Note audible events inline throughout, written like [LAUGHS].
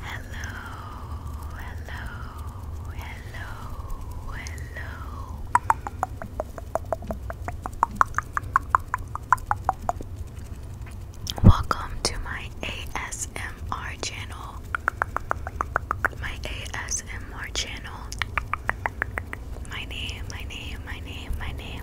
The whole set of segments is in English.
Hello, hello, hello, hello. Welcome to my ASMR channel. My ASMR channel. My name, my name, my name, my name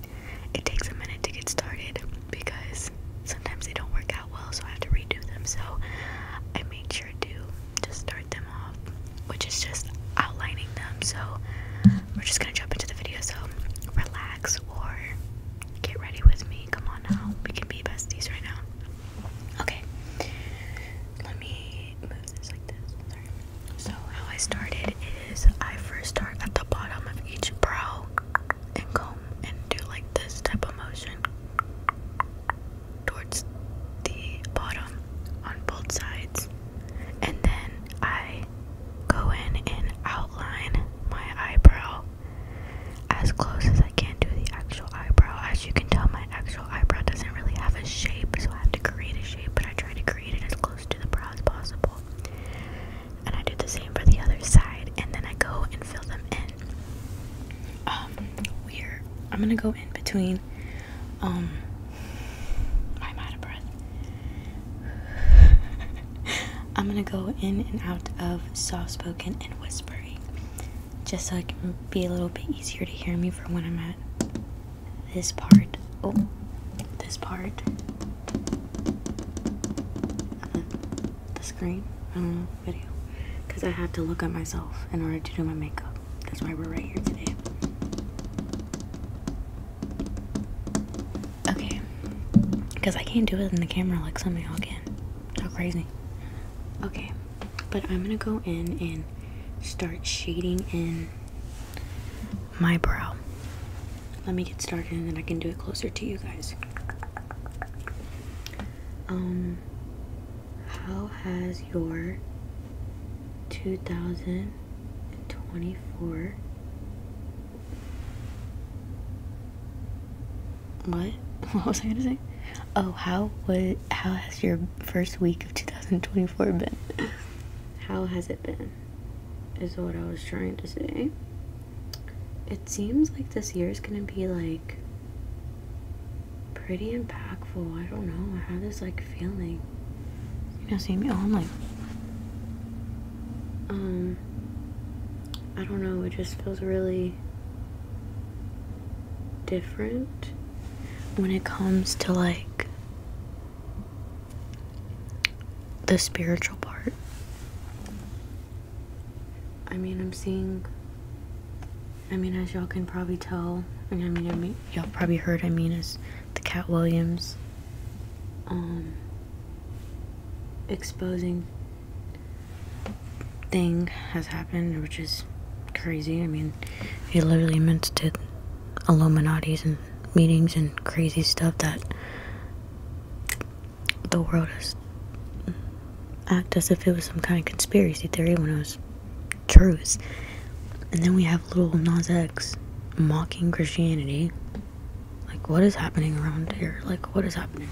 it takes a minute to get started because sometimes they don't work out well, so I have to redo them. So I made sure to just start them off, which is just outlining them. So we're just gonna jump into the video. So relax or get ready with me. Come on now, we can be besties right now. Okay, let me move this like this. So how I started is I first start at the bottom of each brow and go and do like this type of motion towards the bottom on both sides. And then I go in and outline my eyebrow as close as I can to the actual eyebrow. As you can tell, my actual eyebrow doesn't really have a shape, so I have to create a shape, but I try to create it as close to the brow as possible. And I do the same for the other side, and then I go and fill them in. Um, we're I'm gonna go in between. I'm out of breath. [LAUGHS] I'm gonna go in and out of soft spoken and whispery, just so it can be a little bit easier to hear me for when I'm at this part. Oh, this part. Uh, the screen. I don't know, video. Because I have to look at myself in order to do my makeup. That's why we're right here today. Okay. Because I can't do it in the camera like somebody else can. How crazy. Okay. But I'm going to go in and start shading in my brow let me get started and then I can do it closer to you guys. Um, how has your 2024 what? [LAUGHS] What was I gonna say? Oh, how would how has your first week of 2024 been? How has it been? is what I was trying to say. It seems like this year is going to be like pretty impactful. I don't know. I have this like feeling. You know, Samuel. I'm like, um, I don't know. It just feels really different when it comes to like the spiritual part. I mean, I'm seeing. I mean, as y'all can probably tell, I mean, y'all probably heard. I mean, is the Cat Williams, um, exposing thing has happened, which is crazy. I mean, he literally meant to Illuminati's and meetings and crazy stuff that the world has act as if it was some kind of conspiracy theory when it was truths. And then we have little Nas X mocking Christianity. Like, what is happening around here? Like, what is happening?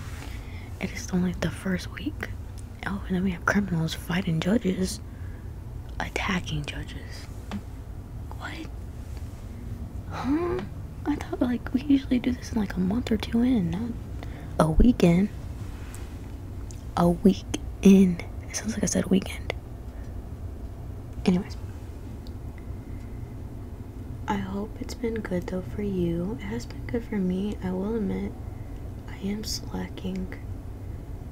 It is only the first week. Oh, and then we have criminals fighting judges, attacking judges. What? Huh? I thought like we usually do this in like a month or two in, not a weekend. A week in. It sounds like I said weekend. Anyways. I hope it's been good though for you. It has been good for me, I will admit. I am slacking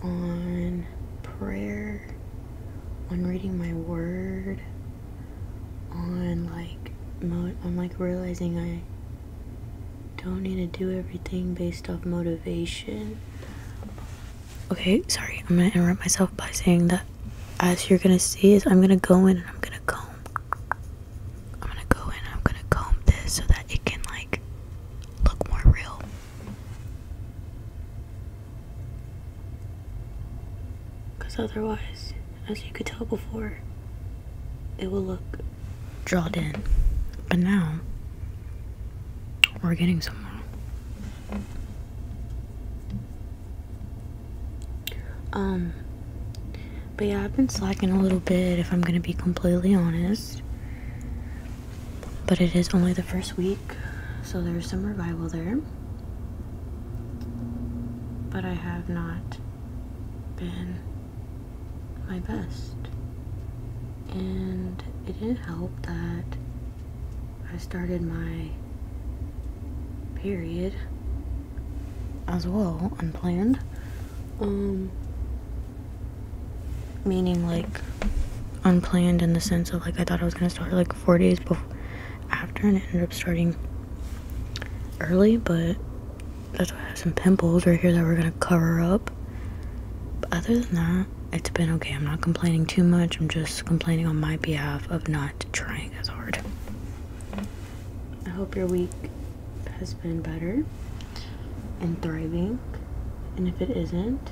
on prayer on reading my word on like I'm like realizing I don't need to do everything based off motivation. Okay, sorry, I'm gonna interrupt myself by saying that as you're gonna see is I'm gonna go in and I'm gonna comb. I'm gonna go in and I'm gonna comb this so that it can like look more real. Because otherwise, as you could tell before, it will look drawn in. But now, we're getting somewhere. Um, but yeah, I've been slacking a little bit if I'm gonna be completely honest. But it is only the first week, so there's some revival there but I have not been my best. And it didn't help that I started my period as well, unplanned. Um, meaning like unplanned in the sense of like I thought I was gonna start like four days after and it ended up starting early but that's why I have some pimples right here that we're gonna cover up but other than that it's been okay I'm not complaining too much I'm just complaining on my behalf of not trying as hard I hope your week has been better and thriving and if it isn't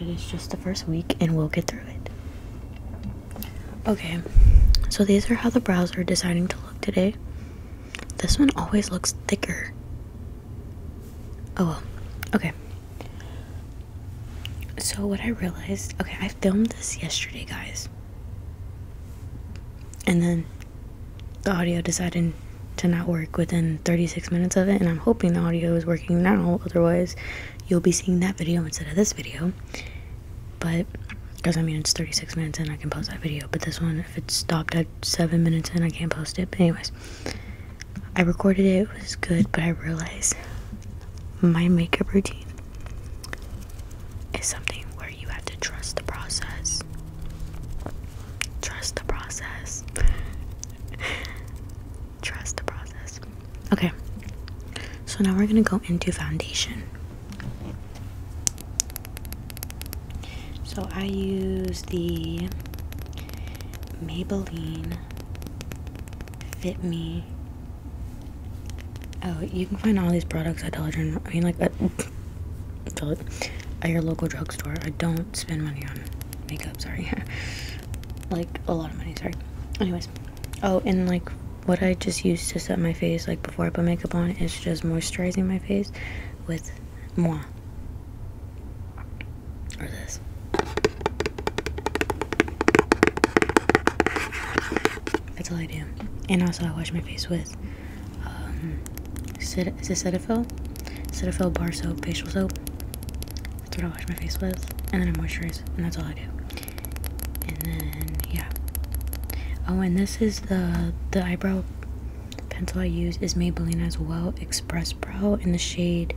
it is just the first week and we'll get through it. Okay, so these are how the brows are deciding to look today. This one always looks thicker. Oh well, okay. So, what I realized okay, I filmed this yesterday, guys. And then the audio decided to not work within 36 minutes of it, and I'm hoping the audio is working now, otherwise, you'll be seeing that video instead of this video. But because I mean it's 36 minutes and I can post that video. But this one, if it stopped at seven minutes and I can't post it. But anyways, I recorded it. It was good, but I realized my makeup routine is something where you have to trust the process. Trust the process. [LAUGHS] trust the process. Okay, so now we're gonna go into foundation. So I use the Maybelline Fit Me. Oh, you can find all these products at Dollar General. I mean, like at, [LAUGHS] at your local drugstore. I don't spend money on makeup, sorry. [LAUGHS] like a lot of money, sorry. Anyways. Oh, and like what I just used to set my face like before I put makeup on is just moisturizing my face with moi. Or this. That's all I do. And also I wash my face with um, is it Cetaphil? Cetaphil bar soap, facial soap. That's what I wash my face with. And then I moisturize, and that's all I do. And then yeah. Oh, and this is the the eyebrow pencil I use is Maybelline as well, Express Brow in the shade.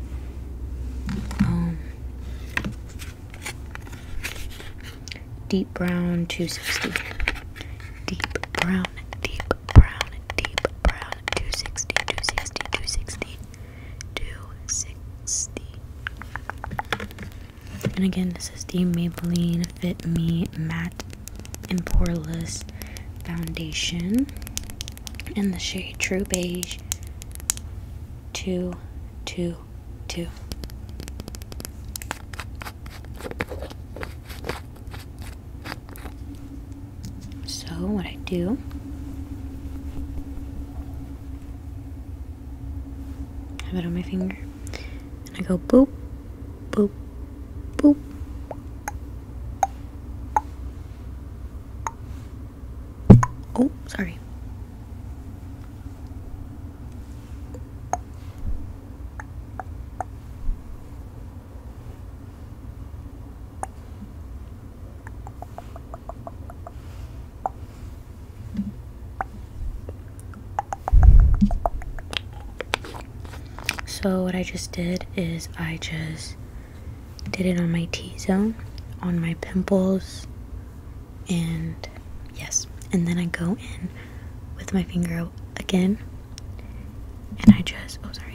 Um, deep brown 260. Deep brown, deep brown, deep brown 260, 260, 260. 260 And again, this is the Maybelline Fit Me Matte and Poreless Foundation in the shade True Beige 222. So, what I do have it on my finger and I go boop boop boop oh sorry so what I just did is I just did it on my T-zone, on my pimples, and yes. And then I go in with my finger again, and I just, oh sorry.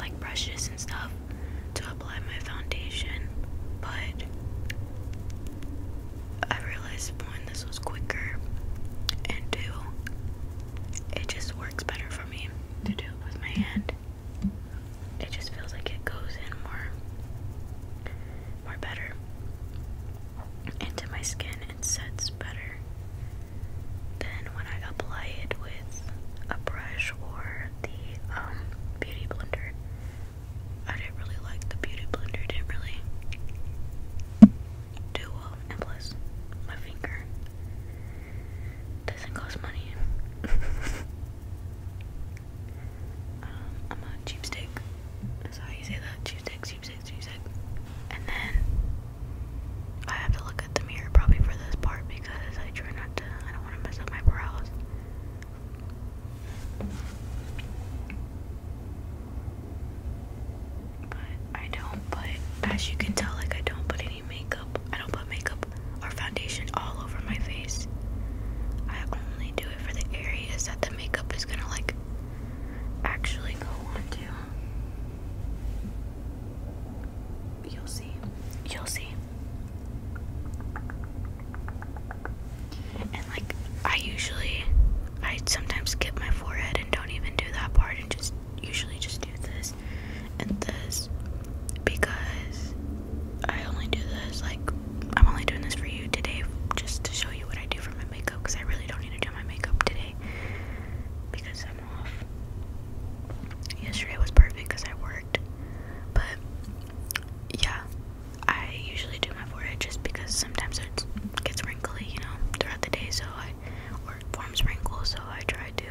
like brushes and stuff to apply my foundation, but I realized one, this was quicker, and two, it just works better for me to do it with my hand. It just feels like it goes in more, more better into my skin and sets better than when I apply it with a brush or the um beauty blender. I didn't really like the beauty blender, didn't really do well, plus my finger doesn't cost money. [LAUGHS] Um, I'm a cheapstick. That's how you say that. Cheapstick, cheapstick, cheapstick. And then I have to look at the mirror probably for this part because I try not to, I don't want to mess up my brows. I don't put, as you can tell, like I don't put any makeup, I don't put makeup or foundation all over my face. I only do it for the areas that the makeup is gonna like actually go on to. You'll see. You'll see. And like I usually I sometimes skip my forehead and don't even do that part and just usually just do this and this because I only do this like I'm only doing this for you today just to show you what I do for my makeup because I really don't need to do my makeup today because I'm off. Yesterday was perfect because I worked. But yeah, I usually do my forehead just because sometimes it gets wrinkly, you know, throughout the day, so I or wrinkles, so I try to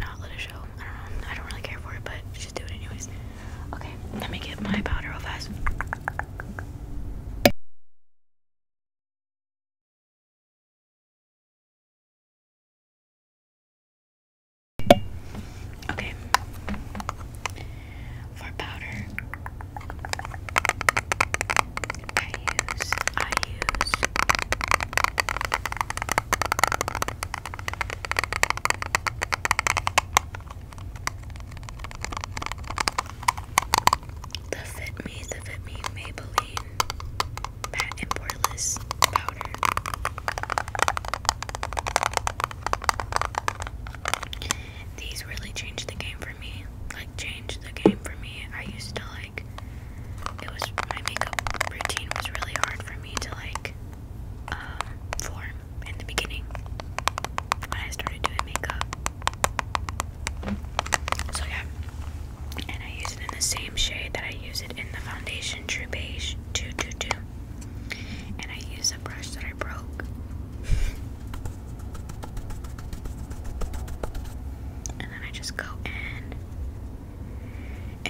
not let it show. I don't know. I don't really care for it, but just do it anyways. Okay, let me get my powder real fast. Okay. For powder, I use I use the Fit Me, the Fit Me Maybelline matte poreless powder. These really changed the game for me. Like changed the game for me. I used to like it was my makeup routine was really hard for me to like um, form in the beginning when I started doing makeup. So yeah, and I use it in the same shade that I use it in the foundation True Beige 222. And I use a brush that I broke. and then I just go in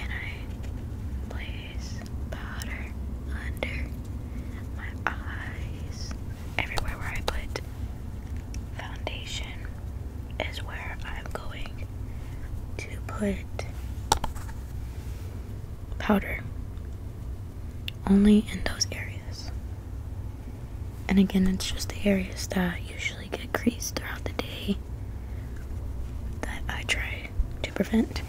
and I place powder under my eyes everywhere where I put foundation is where I'm going to put powder only in those areas. And again, it's just the areas that usually get creased throughout the day that I try to prevent.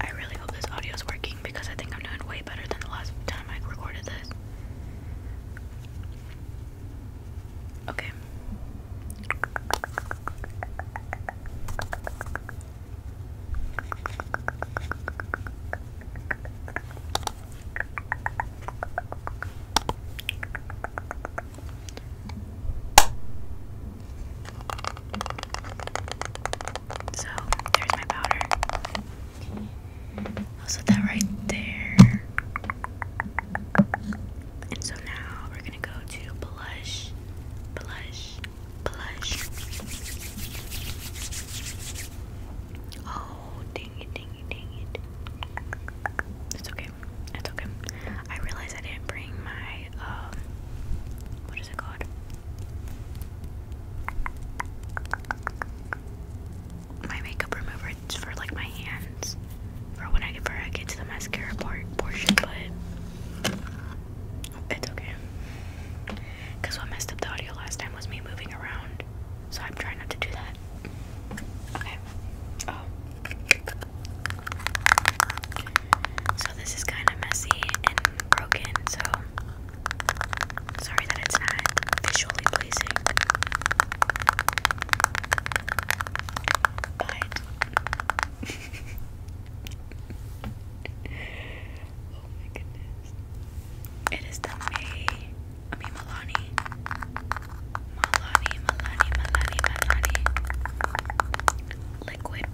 I really hope this audio is working because I think I'm doing way better than the last time I recorded this. Okay. So there's my powder. I'll set that right there. And so now we're gonna go to blush, blush, blush. Oh, dang it, dang it, dang it. It's okay. It's okay. I realize I didn't bring my um what is it called? My makeup remover. It's for like my hands, for when I for I get to the mascara part portion, but it's okay. Cause what messed up the audio last time was me moving around, so I'm trying not to do that. Okay. Oh. So this is kind of messy and broken, so sorry that it's not visually pleasing. [LAUGHS] oh my goodness. It is the May I mean Milani. Milani, Milani, Liquid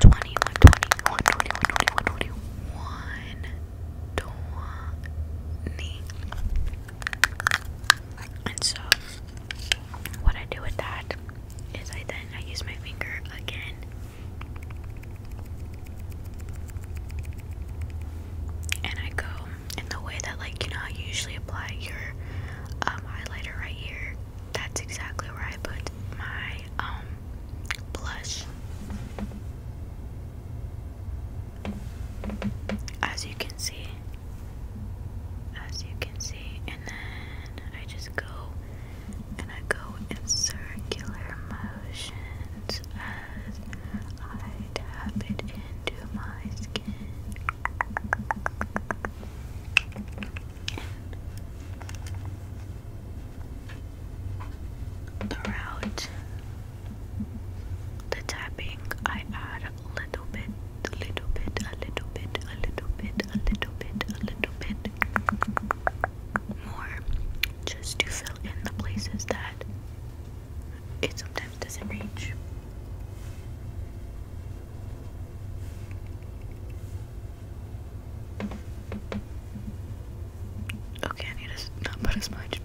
20, And so, what I do with that is I then I use my finger again. And I go in the way that, like, you know, I usually apply your um, highlighter right here. That's exactly where I put my um, blush. As you can see, as you can see, and then I just go and I go in circular motions as I tap it into my skin throughout the tapping, I add a little bit, a little bit, a little bit, a little bit, a little bit, a little bit more just to fill in the places that it sometimes doesn't reach. Okay, I need to not put as much.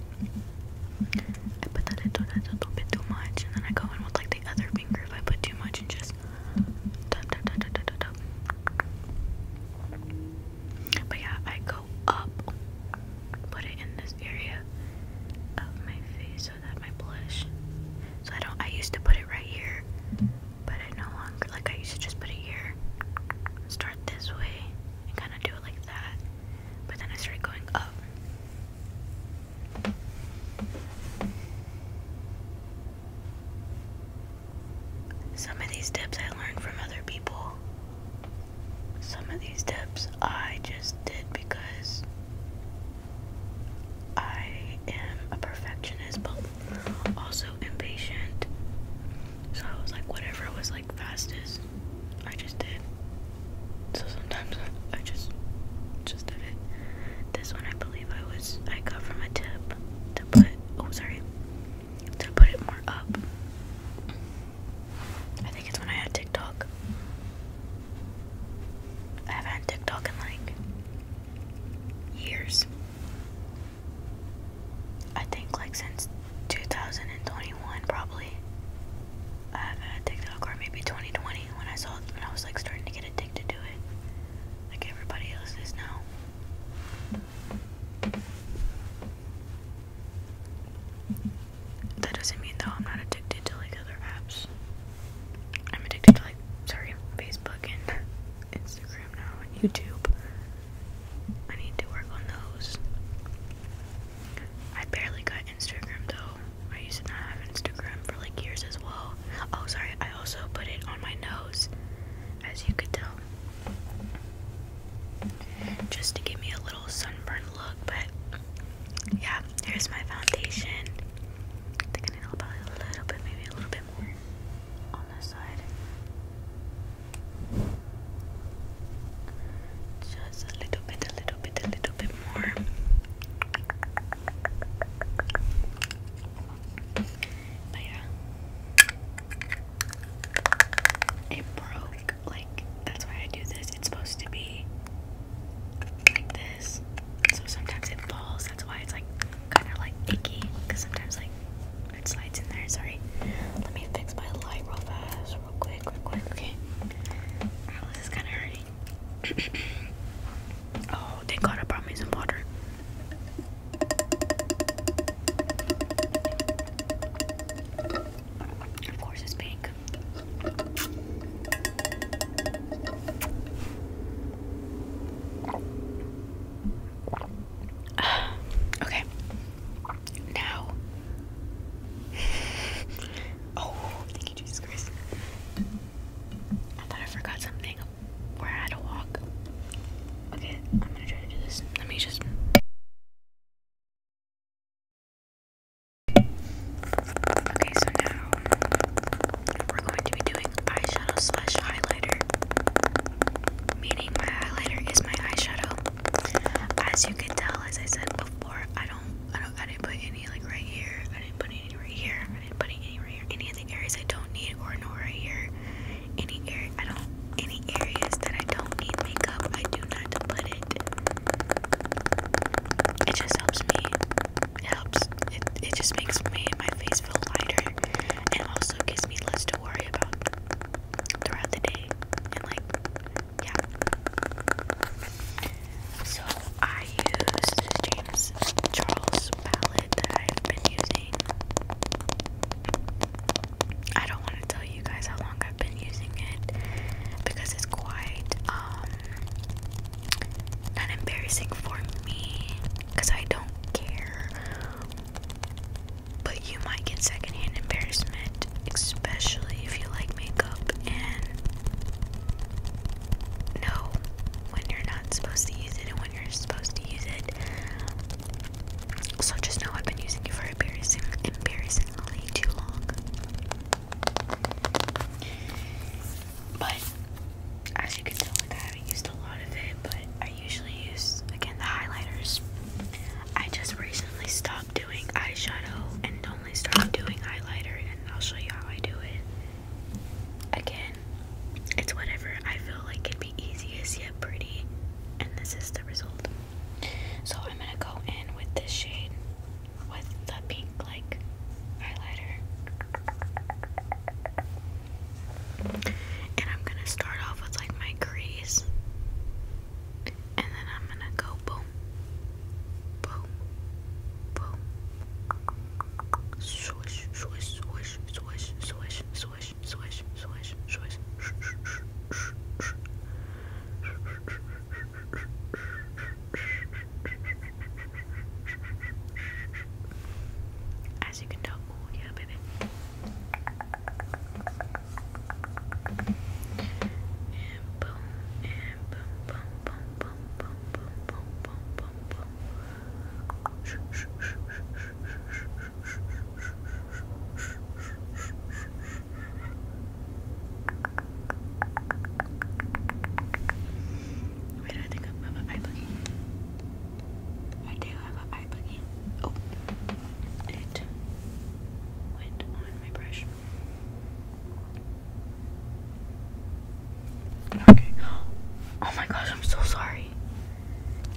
I put that into that a little bit too much, and then I go in with like the other finger if I put too much and just But yeah, I go up, put it in this area of my face so that my blush. So I don't. I used to put it right here, but I no longer like I used to just put it here, start this way, and kind of do it like that. But then I started going up. Some of these tips I learned from other people. Some of these tips I just did because I am a perfectionist, also impatient. So I was like, whatever was like fastest, I just did. So sometimes I just just did it. This one I believe I was I got from a tip to put oh sorry to put it more up. I think it's when I had TikTok. I haven't had TikTok in like years. I think like since 2021 probably. I haven't had TikTok or maybe 2020 when I saw it when I was like starting to get addicted to it. Like everybody else is now. That doesn't mean though I'm not addicted to like other apps. I'm addicted to like sorry, Facebook and Instagram now and YouTube. I need to work on those. I barely got Instagram though. I used to not have Instagram for like years as well. Oh, sorry, I also put it on my nose, as you could tell. Just to give me a little sunburn look, but yeah, here's my foundation. think I need about a little bit, maybe a little bit more just a little bit, a little bit, a little bit more. Myra. It broke. Like, that's why I do this. It's supposed to be like this. So sometimes it falls. That's why it's like kind of like icky. Because sometimes, like, it's in there, sorry. Let me fix my light real fast, real quick, real quick, okay. Oh, is kinda hurting. [COUGHS] oh, thank god I brought me some water. Of course it's pink. [SIGHS] okay. Now. [SIGHS] Oh, thank you, Jesus Christ. I thought I forgot something. We're at a walk. Okay, I'm gonna try to do this. Let me just. Okay, so now we're going to be doing eyeshadow slash highlighter meaning my highlighter is my eyeshadow. As you can tell, as I said before, I don't, I don't, I didn't put any like right here. I didn't put any right here. I didn't put any right here. Any of the areas I don't need, or no here. Any area, I don't. Any areas that I don't need makeup, I do not put it. It just helps me. It helps. It, it just makes me my face feel lighter, and also gives me less to worry throughout the day and like yeah. So I used James Charles palette that I've been using. I don't want to tell you guys how long I've been using it because it's quite um, not embarrassing for me because I don't care but you might get secondhand embarrassment, especially if you like makeup and know when you're not supposed to use it and when you're supposed to use it. So just know I've been using it for embarrassingly too long. But as you can tell, like I haven't used a lot of it, but usually use again the highlighters. I just recently stopped doing eyeshadow and only started doing highlighter, and I'll show you how I do it. Again, it's whatever I feel like it'd be easiest yet pretty, and this is the result. So I'm gonna go in with this shade with the pink like highlighter. And I'm gonna start off with like my crease. And then I'm gonna go boom, boom, boom, swish, swish, swish, swish, swish, swish, swish, swish, swish, swish. As you can tell, Oh yeah, baby. And boom, and boom, boom, boom, boom, boom, boom, boom, boom, boom, boom. Wait, I think I'm, I'm, I'm I do have an eye boogie. Oh, it went on my brush. Okay. Oh my gosh, I'm so sorry.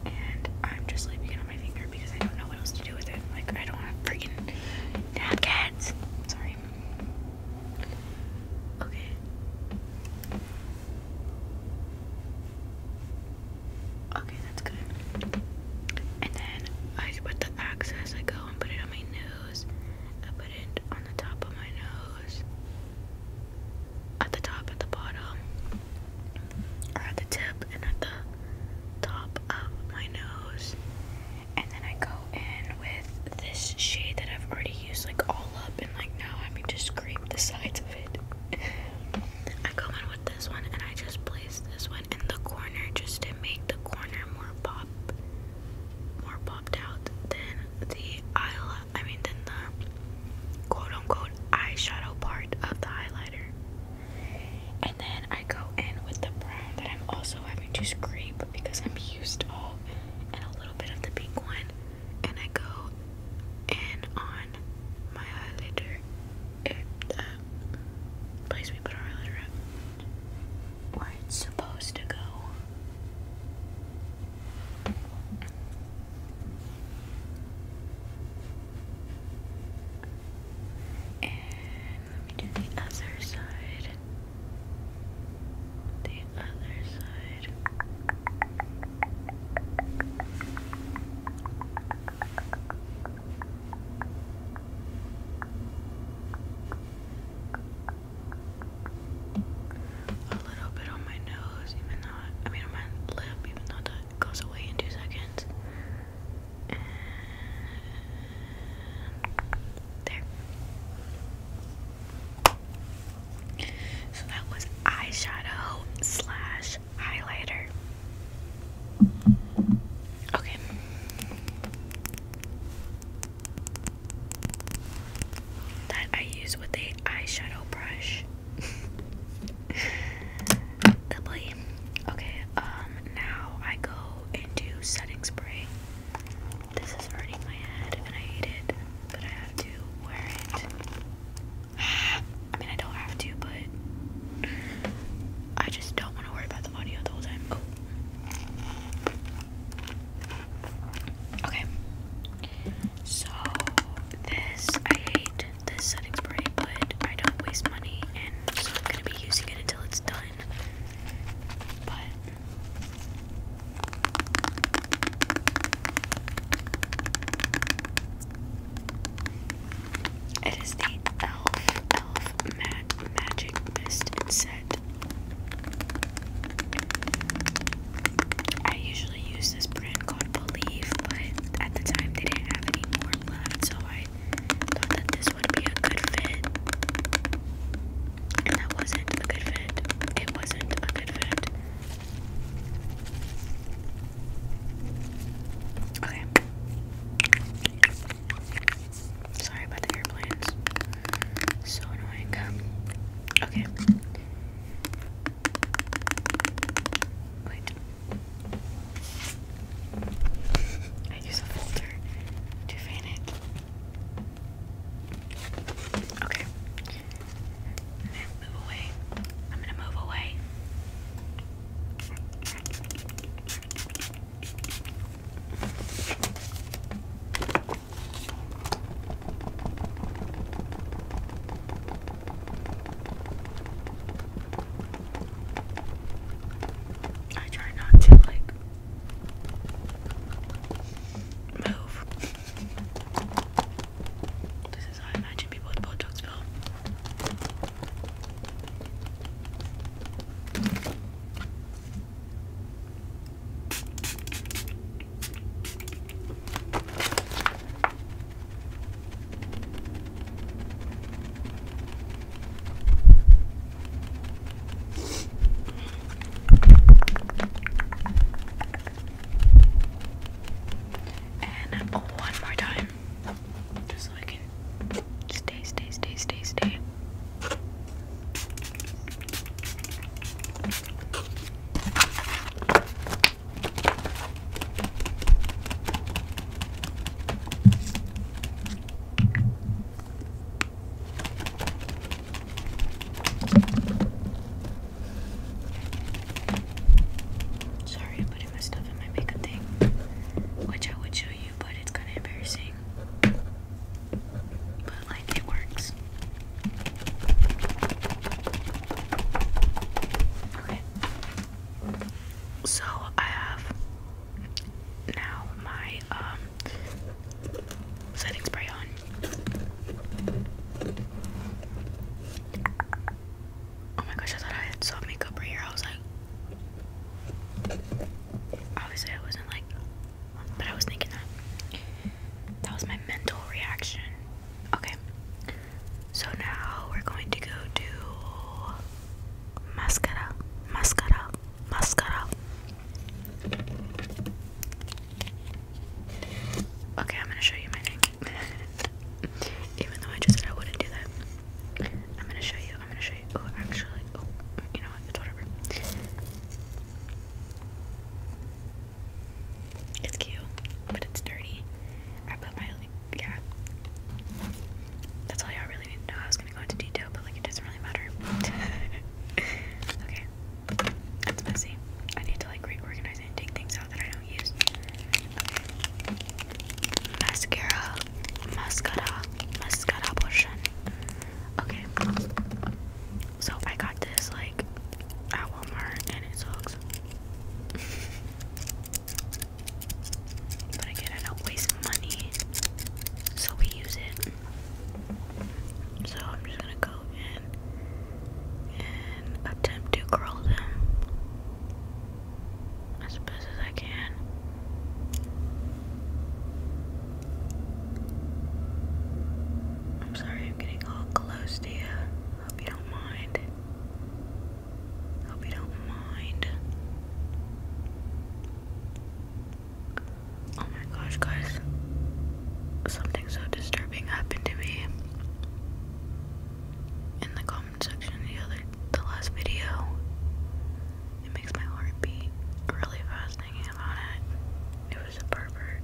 And I'm just leaving it on my finger because I don't know what else to do with it. Like, I don't have freaking napkins. Sorry. Okay. Okay, that's good. And then I put the access, I go and put it on my nose. I put it on the top of my nose. At the top, at the bottom, at the tip and at the top of my nose. And then I go in with this shade that I've already used like all all up and like now having to scrape the sides of it. I go in with this one and I just place this one in the corner just to make the corner more pop more popped out than the eye I mean than the quote unquote eyeshadow part of the highlighter. And then I go in with the brown that I'm also having to scrape because I'm used to all and a little bit of the pink one and I go in on my eyeliner at the place we put our eyeliner at, where it's supposed to go. And let me do the other side. The other side. A little bit on my nose, even though I mean on my lip, even though that goes away in two seconds. there. So that was eyeshadow slash highlighter. Okay. That I use with a eyeshadow brush. [LAUGHS] Lovely. Okay, um now I go into setting spray. This is hurting my head and I hate it, but I have to wear it. [SIGHS] I mean, I don't have to, but I just don't want to worry about the audio the whole time. Oh. Okay. So, this, I hate this setting spray, but I don't waste money, and so I'm going to be using it until it's done. But. It is the Elf Elf Mag Magic Mist set. I usually use this brand called Believe, but at the time they didn't have any more left, so I thought that this would be a good fit. And that wasn't a good fit. It wasn't a good fit. Okay. Sorry about the airplanes. So annoying. Okay. Wait. I use a folder to fan it. Okay. Move away. I'm gonna move away. I try not to like move. This is how I imagine people with Botox feel. And one more time. Just so I can stay, stay, stay, stay, stay. Sorry, putting my stuff in my makeup thing, which I would show you, but it's kind of embarrassing. But like, it works. Okay. So I have now my um, setting spray on. Oh my gosh, I thought I had some makeup right here. I was like, obviously I wasn't like, but I was thinking that. That was my mental reaction. Okay, so now we're going to go to mascara, mascara, mascara. Okay, I'm gonna show you my thing. [LAUGHS] Even though I just said I wouldn't do that. I'm gonna show you, I'm gonna show you. Oh, actually, oh, you know what? It's whatever. It's cute, but it's dirty. I put my, yeah. That's all y'all really need to know. I was gonna go into detail, but like, it doesn't really matter. [LAUGHS] okay. It's messy. I need to like reorganize and take things Mascara, mascara, mascara potion. Okay. So I got this like at Walmart and it sucks. but again, I don't waste money, so we use it. So I'm just gonna go and attempt to curl them as best as I can. I'm sorry I'm getting all close to you. Hope you don't mind. Hope you don't mind. Oh my gosh, guys. Something so disturbing happened to me in the comment section the other the last video. It makes my heart beat really fast thinking about it. It was a pervert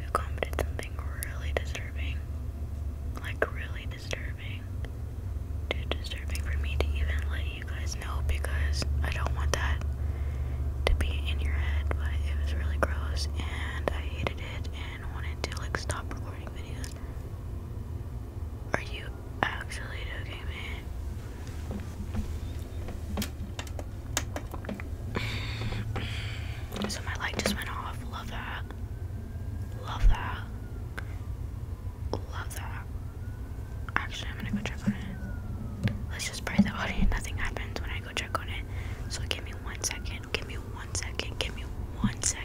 who commented something really disturbing. Like really disturbing. Too disturbing for me to even let you guys know because I don't want that to be in your head, but it was really gross and I hated and wanted to like stop recording videos. Are you actually joking me? [SIGHS] so my light just went off. Love that. Love that. Love that. Actually, I'm gonna go check on it. Let's just pray that [LAUGHS] nothing happens when I go check on it. So give me one second. Give me one second. Give me one second.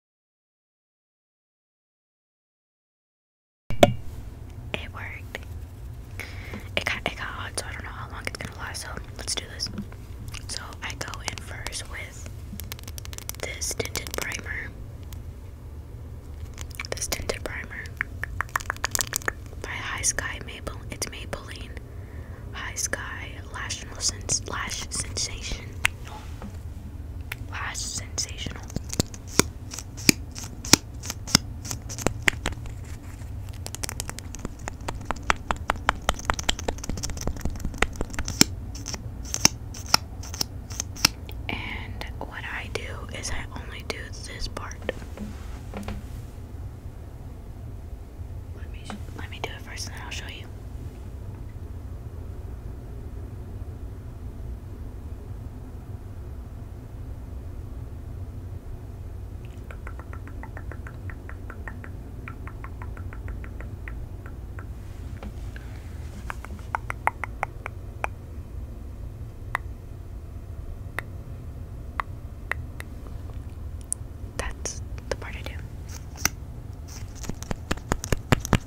It worked. It got it got hot, so I don't know how long it's gonna last. So let's do this. So I go in first with this tinted primer. This tinted primer by High Sky Maple. It's Maybelline High Sky Lash Lash Sensation. Lash Sensational. And what I do is I only do this part. Let me let me do it first then I'll show you. That's the part I do. For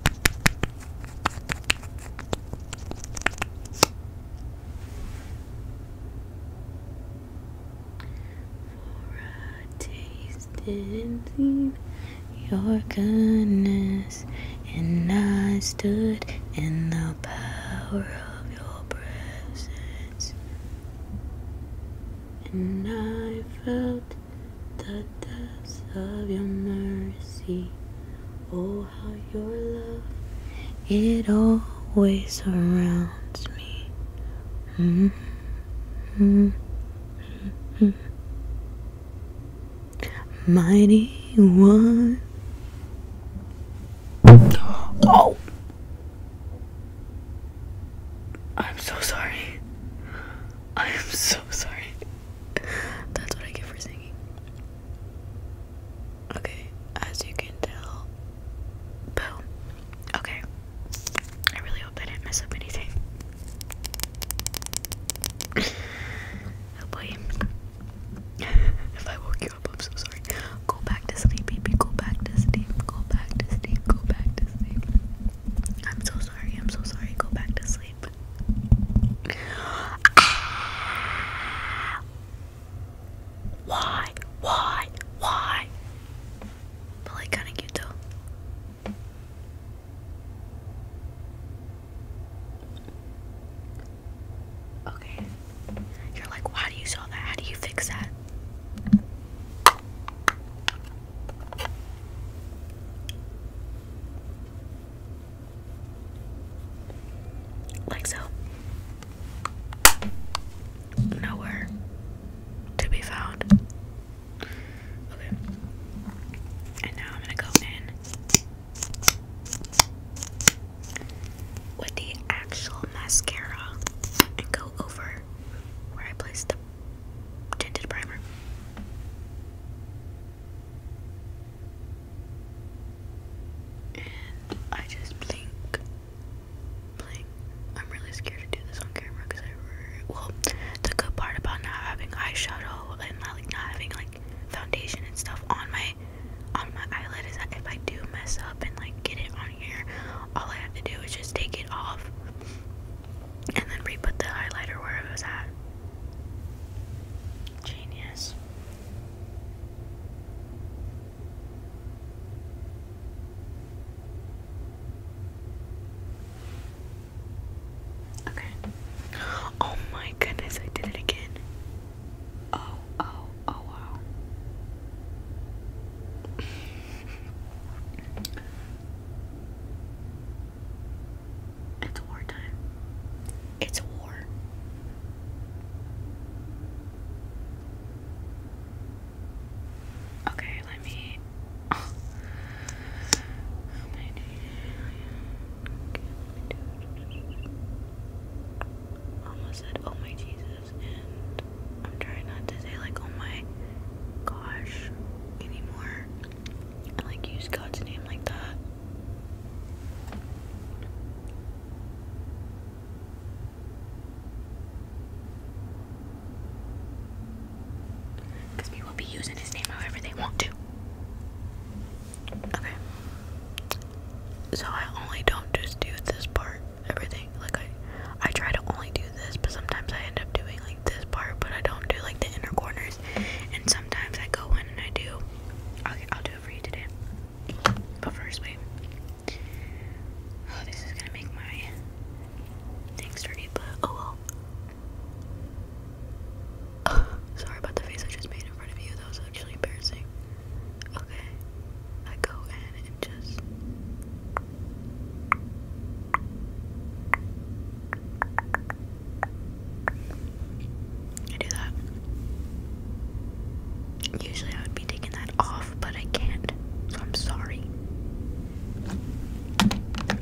I tasted and seen your goodness, and I stood in the power of your presence, and I felt the depths of your mercy. Oh, how your love, it always surrounds me. Mm-hmm. Mm-hmm. Mighty one. Oh! I'm so sorry. I am so sorry. That's what I get for singing. Okay, as you can tell. Boom. Okay. I really hope I didn't mess up anything. [LAUGHS] oh [LAUGHS] if I woke you up, I'm so sorry. Go back to sleep, baby. Go back to sleep. Go back to sleep. Go back to sleep. I'm so sorry. I'm so sorry. Go back to sleep. Why? Why? Why? But like kind of cute though. Okay. You're like, why do you sell that? How do you fix that? Like so. Nowhere to be found. Okay. And now I'm going to go in with the actual mascara and go over where I placed the tinted primer. And I just blink, blink. I'm really scared to do this on camera because I, well, the good part about not having eyeshadow and like not having like foundation and stuff on my on my eyelid is that if I do mess up and like get it on here, all I have to do is just take it off and then re-put the highlighter where it was at. Genius. Okay. Oh my goodness, I did it again. Oh, oh, oh, wow. [LAUGHS] It's wartime. It's war. Okay, let me. Oh. Okay, let Almost said, oh my Jesus, and I'm trying not to say, like, oh my gosh anymore. I like use God's name like that. Because people be using his name however they want to. Okay. So I only don't just do this part, everything. Like I I try to only do this, but sometimes I end up doing like this part, but I don't do like the inner corner and sometimes I go in and I do. Okay, I'll do it for you today. But first, wait. Oh, this is gonna make my thing dirty, but oh well. [SIGHS] sorry about the face I just made in front of you. That was actually embarrassing. Okay, I go in and just. I do that. Usually I would be taking that off, but I can't, so I'm sorry.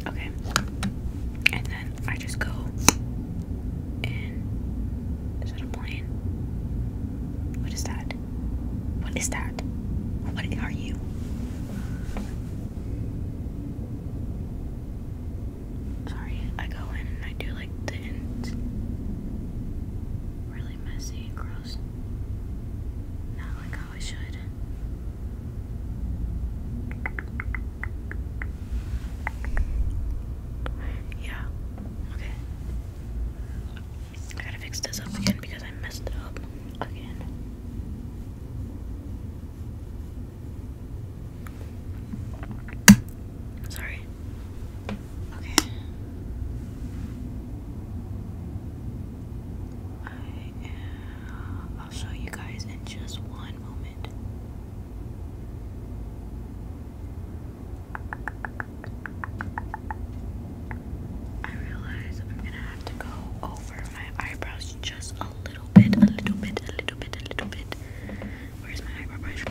Okay. And then I just go Is that a plane? What is that? What is that? What are you? Sorry, I go in and I do like the ends. Really messy and gross. Not like how I should. Yeah, okay. I gotta fix this up again because I messed it up again. Sorry. Okay. I am, I'll show you guys in just one moment. I realize I'm gonna have to go over my eyebrows just a little bit, a little bit, a little bit, a little bit. Where's my eyebrow brush?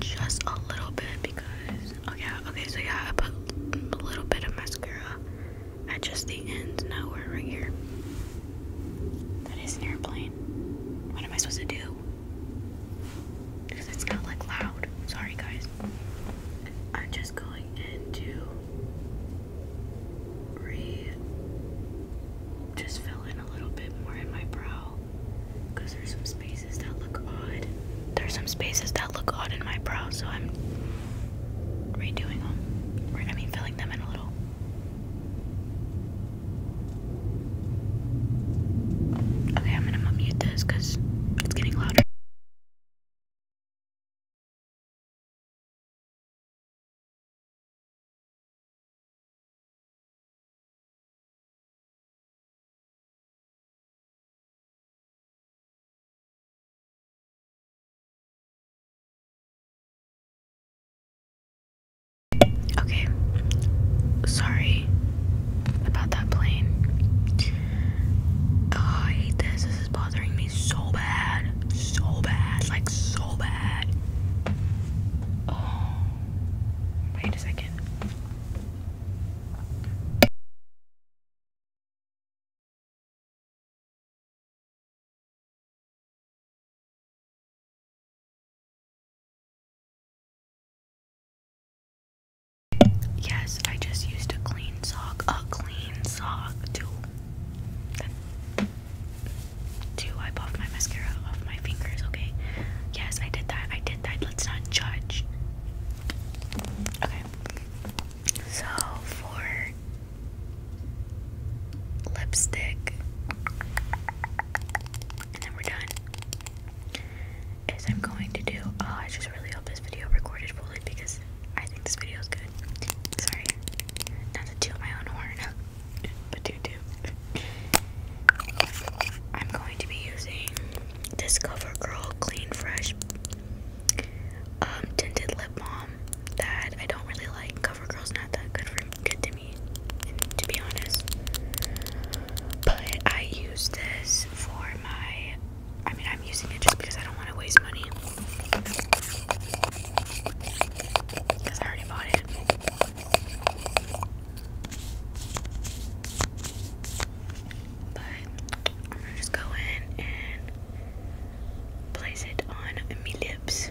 Just a little bit because, oh yeah, okay, so yeah, I put a little bit of mascara at just the ends. Now we're right here. That is an airplane. What am I supposed to do? Because it's not like loud. Sorry, guys. I'm just going into re just fill in a little bit more in my brow there's some spaces that look odd. There's some spaces that look odd in my brow, so I'm redoing them. Or, I mean, filling them in a little. Okay, I'm gonna mute this it's getting louder. Okay, sorry about that plane. Oh, hate This it's bothering me so bad. So bad. Like, so bad. Oh, wait a second. Yes, I just used a clean sock. A clean sock, too to wipe off my mascara off my fingers, okay? Yes, I did that. I did that. Let's not judge. Okay. So for lipstick, and then we're done. Is I'm going to do. Oh, I just really hope this video recorded fully because I think this video is good. Sorry, not to toot my own horn, [LAUGHS] but do do. I'm going to be using this CoverGirl Clean Fresh um, tinted lip balm that I don't really like. CoverGirl's not that good for good to me, to be honest. But I use this for my. I mean, I'm using it just because I don't want to waste money. Because I already bought it. But I'm gonna just go in and place it on my lips.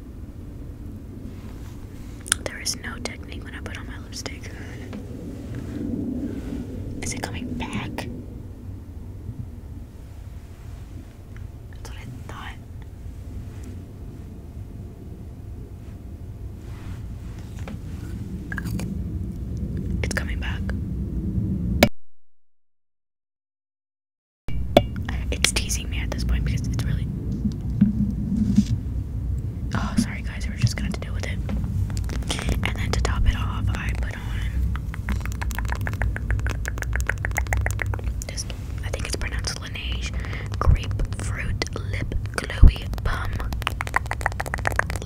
There is no technique when I put on my lipstick. Is it coming back? That's what I thought. It's coming back. It's teasing me at this point because it's really. Oh, sorry guys, we're just gonna have to deal with it. And then to top it off, I put on this. I think it's pronounced Laneige grapefruit lip gluey bum.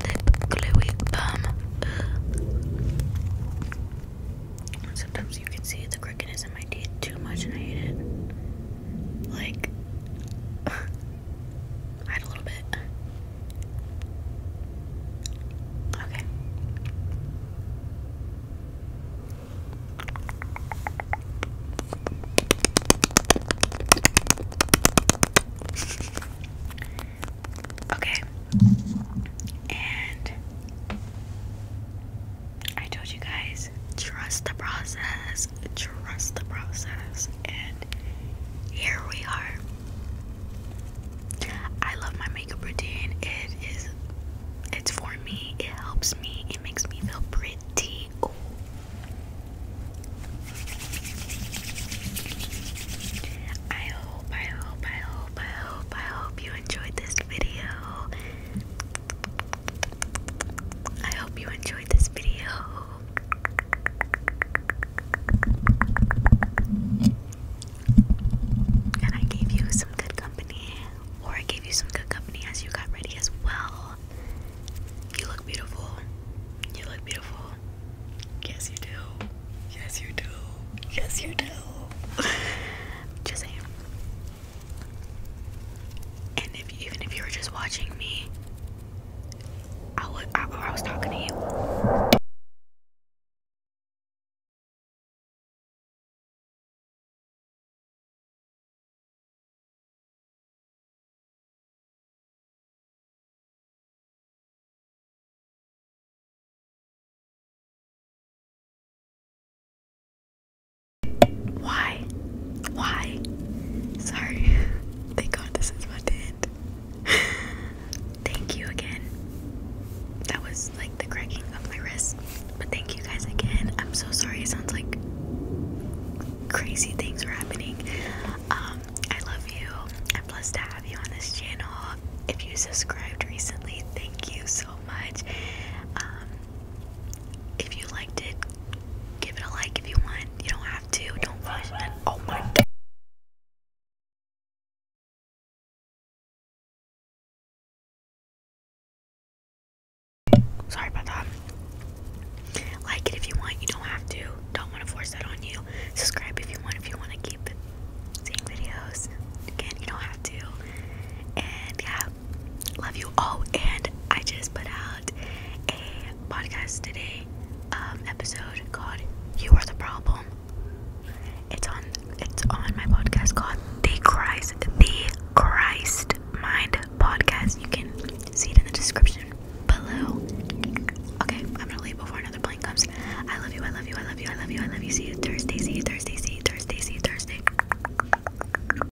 Lip gluey bum. Sometimes you can see the crookedness in my teeth too much, and I hate it like [LAUGHS] hide a little bit. Okay. Okay. And I told you guys, trust the process, trust the process, and here we are. I love my makeup routine. It is, it's for me. It helps me. It makes me feel pretty. I hope, I hope, I hope, I hope, I hope you enjoyed this video. I hope you enjoyed this video. And I gave you some good company, or I gave you some good company as you got ready as well. You look beautiful. You look beautiful. Yes, you do. Yes, you do. Yes, you do. [LAUGHS] Just and if even if you were just watching me, I would I, I was talking to you. Why? Why? Sorry. [LAUGHS] Thank God this is my end. [LAUGHS] thank you again. That was like the cracking of my wrist. But thank you guys again. I'm so sorry. It sounds like crazy things were happening. Um, I love you. I'm blessed to have you on this channel. If you subscribed recently, thank you so much. Um, if you liked it, give it a like if you want. You don't have to. Don't force it. Oh my Sorry about that. Like it if you want. You don't have to. Don't want to force that on you. Subscribe if you want. If you want to keep seeing videos, again, you don't have to. And yeah, love you all and I just put out a podcast today um episode called You Are the Problem. It's on it's on my podcast called The Christ The Christ Mind Podcast. You can see it in the description below. Okay, I'm gonna leave before another plane comes. I love you, I love you, I love you, I love you, I love you. See you Thursday, see you Thursday, see you Thursday, see you Thursday.